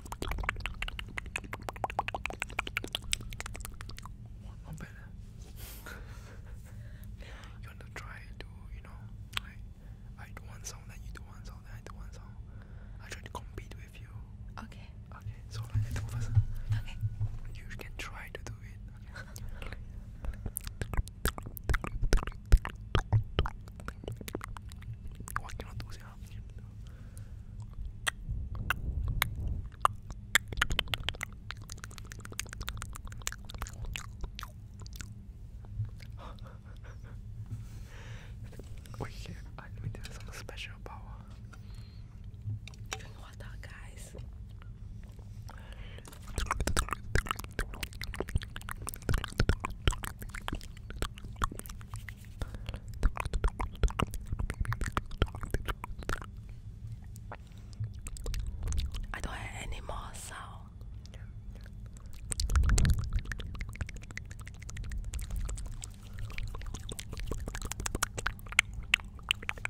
Not bad. you want to try to, you know, like I do one sound, then you do one sound, then I do one sound. I try to compete with you. Okay. Okay. So like, first. Okay. You can try to do it. Okay. What cannot do? we can let me do some special power. Drink water guys. I don't have any more sound.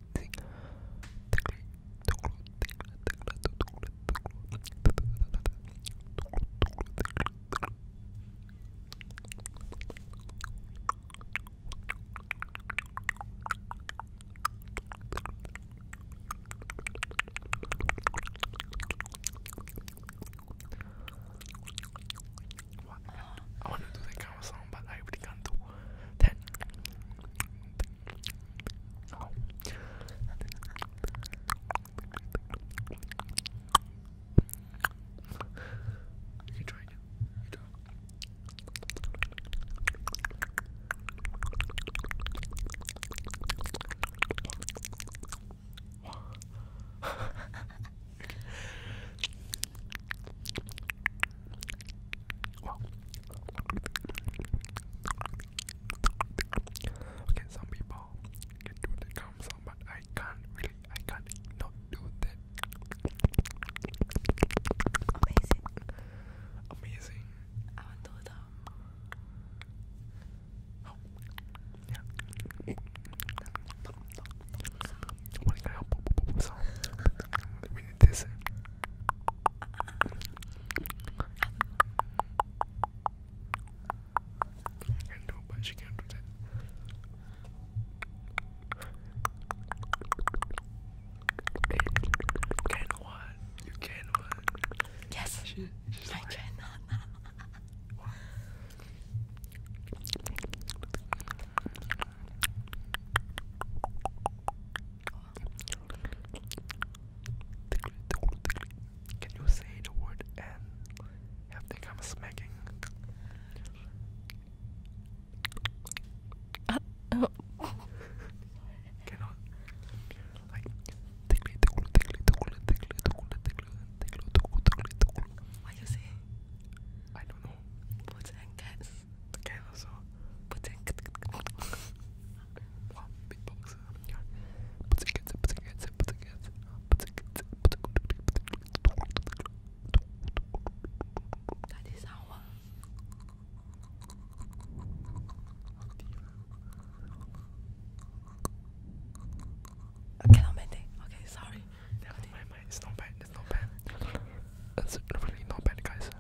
what? I want to do that kind of song, but I really can't do that. You try it. You try Okay, some people can do the calm sound, but I can't really, I can't not do that. Amazing. Amazing. I want to do the. Oh. Yeah. I know, but she can't do that. Can one, you can one. Yes, I cannot. Oh, can you say the word and have the smacking? Uh, Cannot. Like you say? I don't know. Birds and cats. Така е назва. Пъценката. Битбокса. Пъценката, пъценката, пъценката. Пъценката, пъценката. That is our... Okay, not Monday. Okay, sorry. Never mind, it's not bad. It's not bad. It's definitely not bad, guys.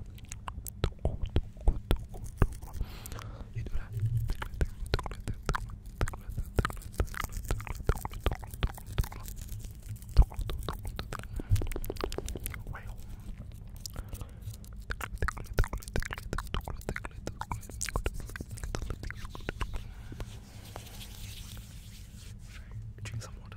Drink some water.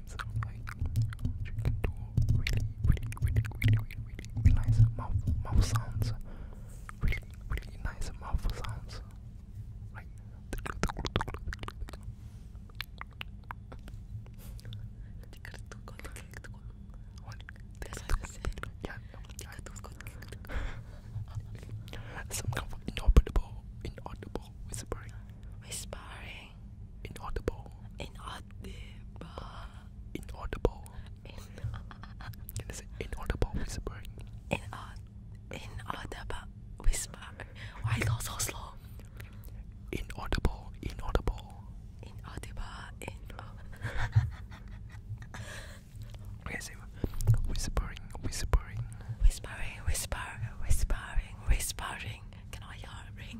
really, really, really, really, really, really nice mouth mouth sounds. Really, really nice mouth sounds. Like what? That's what I said. Yeah. Some kind of inaudible, inaudible whispering. Whispering say? Inaudible. Inaudible. Inaudible. In Can I say inaudible whispering? Inaud inaudible whisper. Why go so slow? Inaudible. Inaudible. Inaudible. Inaudible. okay, say whispering. Whispering. Whispering. Whisper. Whispering. Whispering. Can I hear a ring?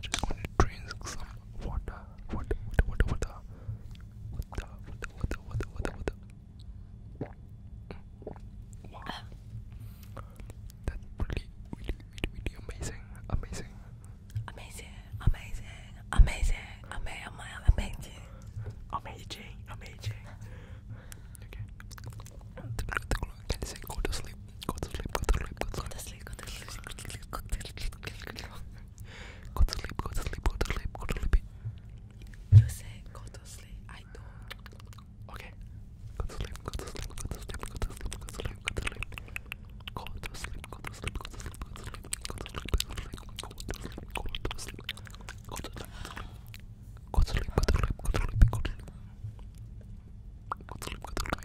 Just going to drink some water. Water, water, water, water. Water, water, water, water, water. Mm. Wow. Um. That's really, really, really, really amazing. Amazing. Amazing, amazing, amazing, amazing, amazing. Amazing, amazing. Okay. Can you say go to sleep? Go to sleep, go to sleep, go to sleep. Go to sleep, go to sleep, go to sleep. Go to sleep, go to sleep, go to sleep, go to sleep. You say go to sleep, I don't. Okay. Go to sleep, go to sleep, go to sleep, go to sleep, go to sleep, go to sleep. Go to sleep, go to sleep, go to sleep, go to sleep, go to sleep, go to sleep, go to sleep, go to sleep. Go to sleep, go to sleep, go to sleep, go to sleep, go to sleep. Go to sleep, go to sleep.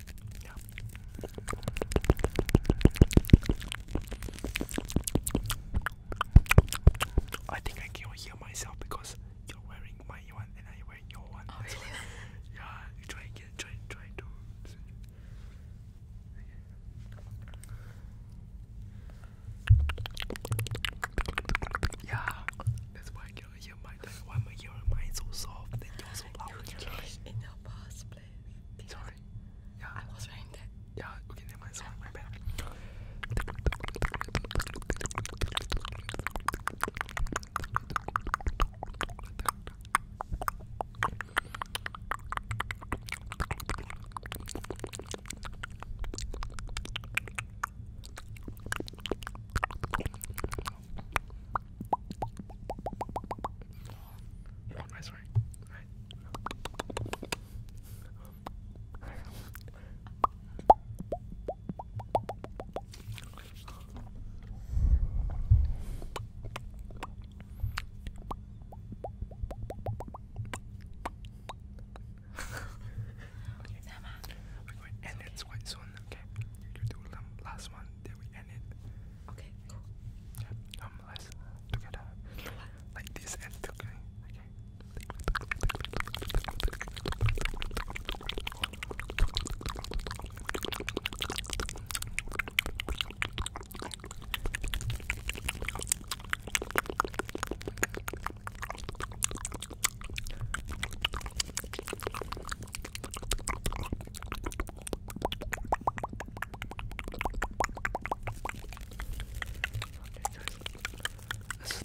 Yeah. I think I can hear myself because you're wearing my one and I wear your one. Oh, yeah, you try again, try, try to. Yeah, that's why I can middle of your mind, like why my your mind so soft and you're so loud? You in your past place. Sorry. Yeah. I was wearing that. Yeah, okay, never mind, sorry, my bad. Oh, am I sorry? Right. okay. And it's quite soon okay? You do the last one, then we end it. Okay, cool. Yeah, um, let together. Like this and okay? This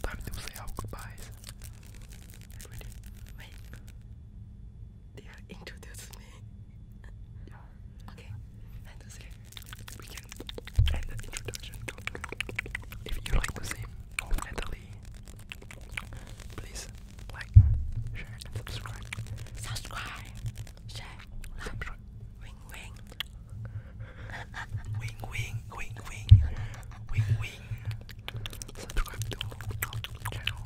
time to say our goodbyes. Wait. They are introducing me. Yeah. Okay. And okay. We can end the introduction If you like to sing oh, mentally, please like, share, subscribe. share, like, wing. wing wing, wing wing, wing wing. Subscribe to our channel.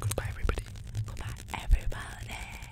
Goodbye, everybody. Goodbye, everybody.